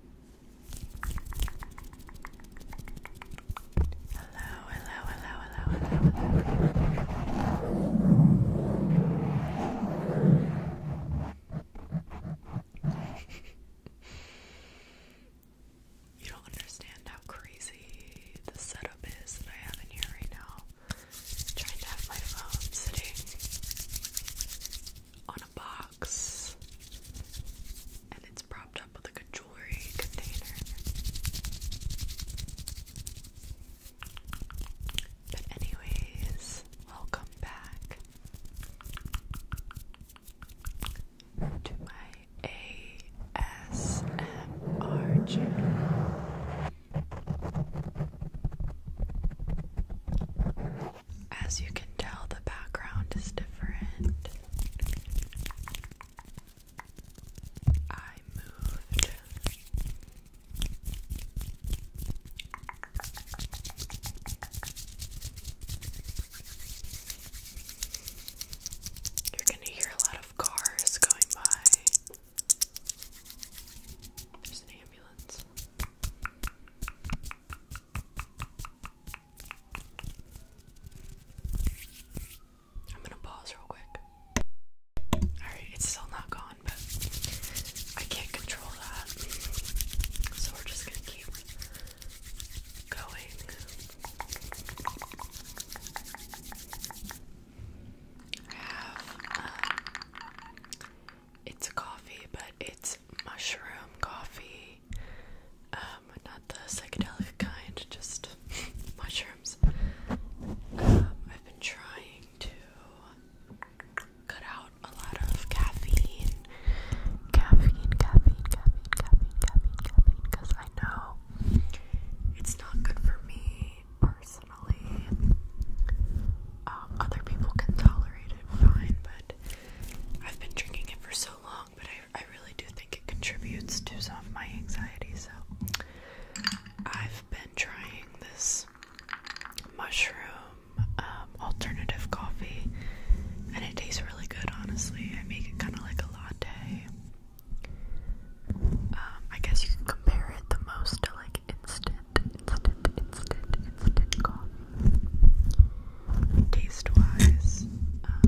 you don't understand how crazy the setup is that I have in here right now. trying to have my phone sitting on a box and it's propped up with like a jewelry container. But anyways, welcome back to my ASMR channel as you can tell, the background is different. I moved. You're going to hear a lot of cars going by. There's an ambulance. I'm gonna pause real quick. Alright, it's still not gone, but I can't control that. So we're just gonna keep going it's coffee, but it's mushroom coffee. Um, not the psychedelic kind, just mushrooms. Um, I've been trying to cut out a lot of caffeine. Caffeine, caffeine, caffeine, caffeine, caffeine, caffeine, because I know it's not good for me personally. Um, other people can tolerate it fine, but I've been drinking it for so long, but I, really do think it contributes to some of my anxiety. So I've been trying this mushroom um, alternative coffee, and it tastes really good, honestly. I make it kind of like a latte. Um, I guess you can compare it the most to like instant instant, instant, instant coffee. Taste-wise, um,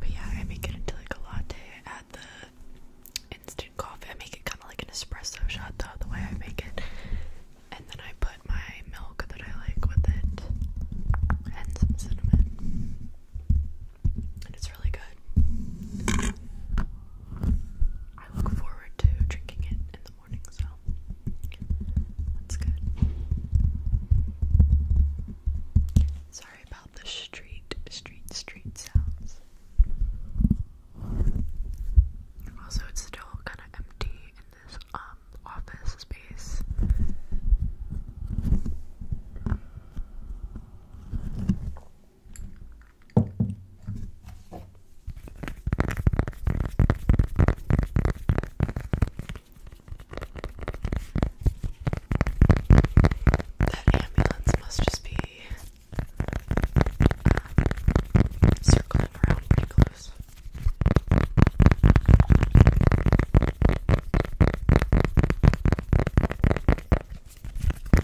but yeah, I make it into like a latte. I add the instant coffee. I make it kind of like an espresso shot, though, the way I make it. And then I put my milk that I like with it and some cinnamon. And it's really good. I look forward to drinking it morning, so that's good. Sorry about the street, street, street sounds. Also, it's still kind of empty in this um, office space. That ambulance must just be circling around pretty close.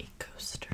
a coaster.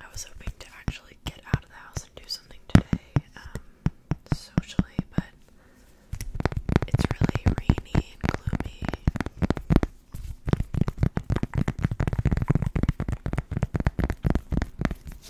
I was hoping to actually get out of the house and do something today, um, socially, but it's really rainy and gloomy.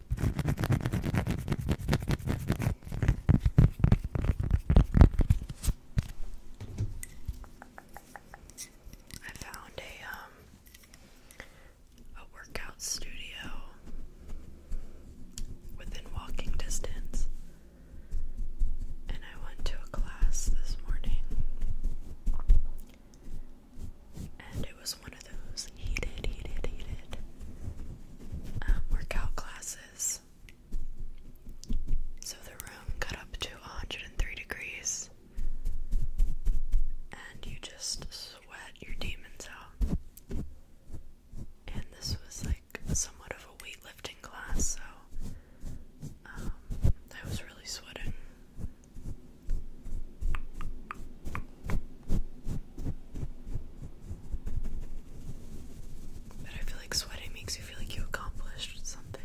I found a um a workout studio within walking distance. And I went to a class this morning it was one of those heated, heated, heated um, workout classes. So the room got up to 103 degrees, and you just sweat your demons out. And this was like somewhat of a weightlifting class, so um, I was really sweating. But I feel like sweating makes you feel like you accomplished something.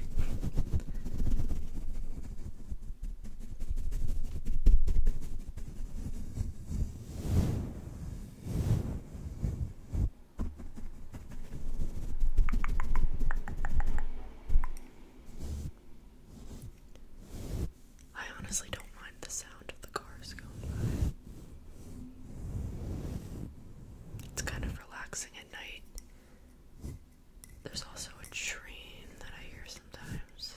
I honestly don't mind the sound of the cars going by. It's kind of relaxing at night. There's also a train that I hear sometimes.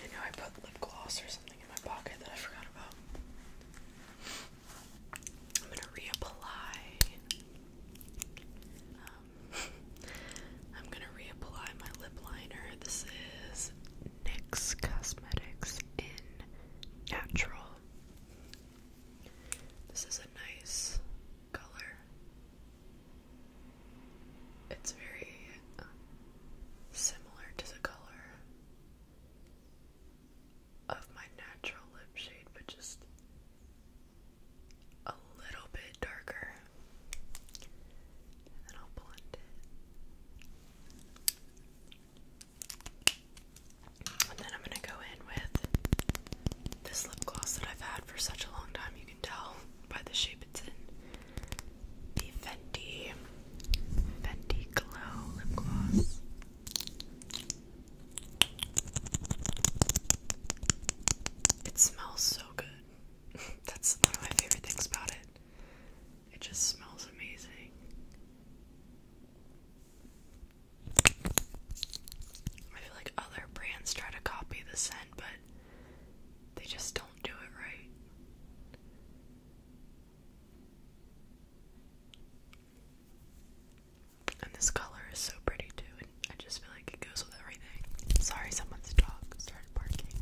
I know I put lip gloss or something in my pocket that I forgot about. I'm gonna reapply. Um, I'm gonna reapply my lip liner. This is NYX Cosmetics in Natural. This is a nice color. It's very uh, similar to the color of my natural lip shade, but just a little bit darker. then I'll blend it. And then I'm going to go in with this lip gloss that I've had for such a long time. You can tell by the shape it's in. The Fenty Fenty Glow lip gloss. It smells so good. That's one of my favorite things about it. It just smells amazing. I feel like other brands try to copy the scent, but they just don't do it right. And this color is so pretty too, I just feel like it goes with everything. Sorry, someone's dog started barking.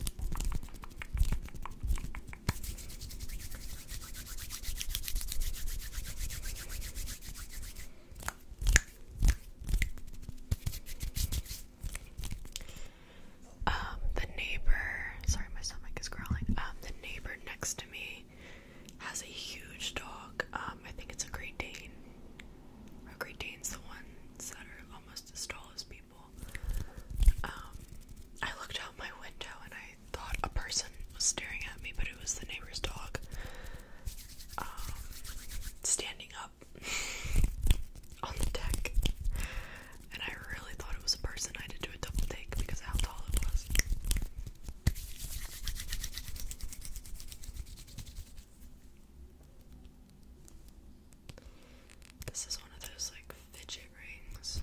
Um, the neighbor, sorry, my stomach is growling. Um, the neighbor next to me has a huge dog. Um, I think it's a Great Dane. A Great Dane's the ones that are almost as tall as people. I looked out my window and I thought a person was staring at me, but it was the neighbor's dog. Um, standing up on the deck. And I really thought it was a person. I had do a double take because how tall it was. This is one of those like fidget rings.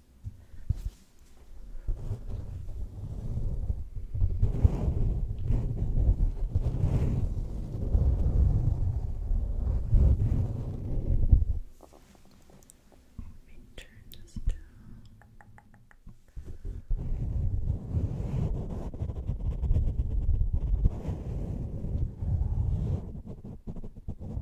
Let me turn this down. Okay.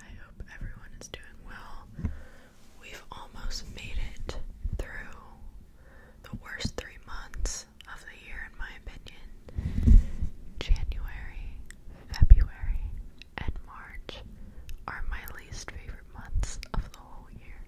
I hope everyone is doing well. We've almost made it through the worst three months of the year, in my opinion. January, February, and March are my least favorite months of the whole year.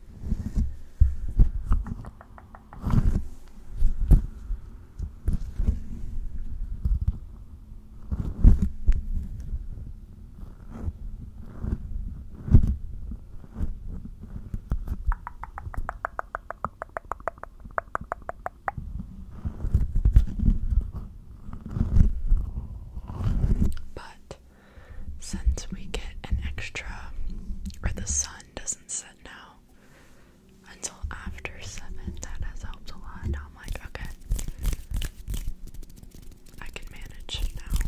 But since we get an extra, or the sun doesn't set now, until after seven. That has helped a lot. Now I'm like, okay, I can manage now.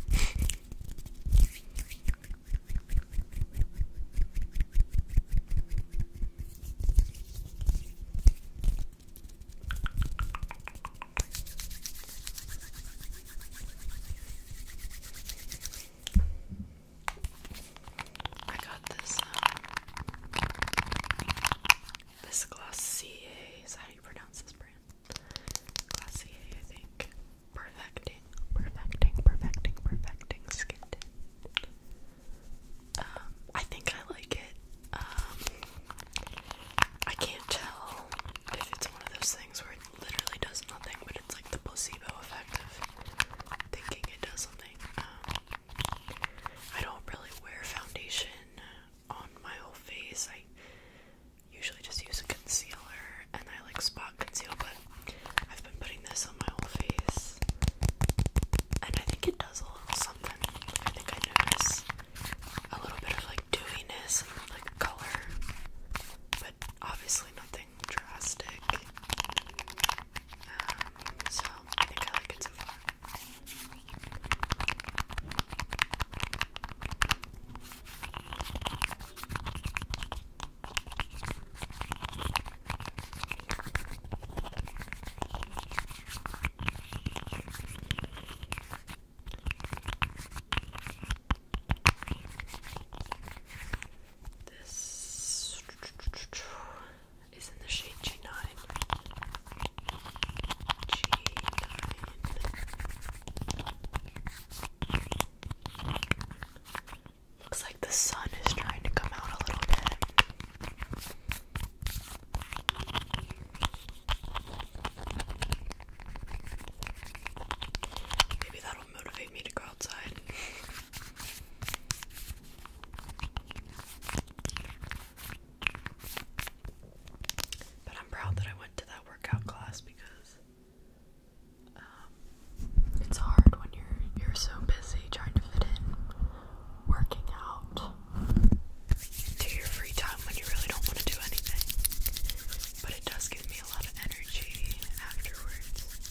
I got this um, this Glossier is how you pronounce this brand. Glossier, I think. Perfecting, perfecting, perfecting, perfecting skin um, I think I like it. Um, I can't tell if it's one of those things where it literally does nothing, but it's like the placebo effect of thinking it does something um, I don't really wear foundation on my whole face. I usually just use a concealer and I like spot conceal, but I've been putting this on my whole face and I think it does a little something. I think I notice a little bit of like dewiness and like color, but obviously nothing drastic. Um, so I think I like it so far. This is in the shade G9. G9. Looks like the sun is trying to come out a little bit. Maybe that'll motivate me to go but I'm proud that I went to that workout class because um, it's hard when you're you're so busy trying to fit in working out into your free time when you really don't want to do anything. But it does give me a lot of energy afterwards.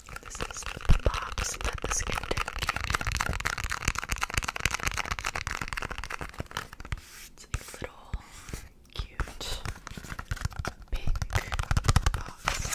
This is the box that this gift came in. It's a little cute pink box.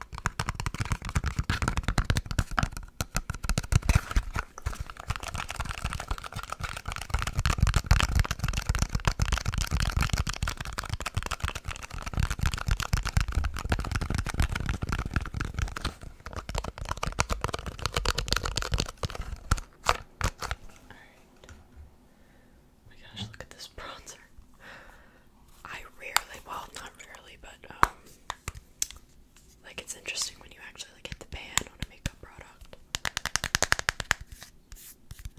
All right. Oh my gosh, look at this bronzer. I rarely, well, not rarely, but um, like it's interesting when you actually like hit the pan on a makeup product.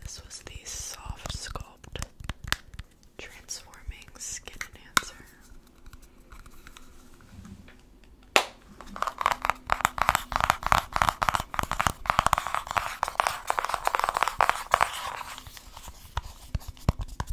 This was the Soft Sculpt Transforming Skin Enhancer.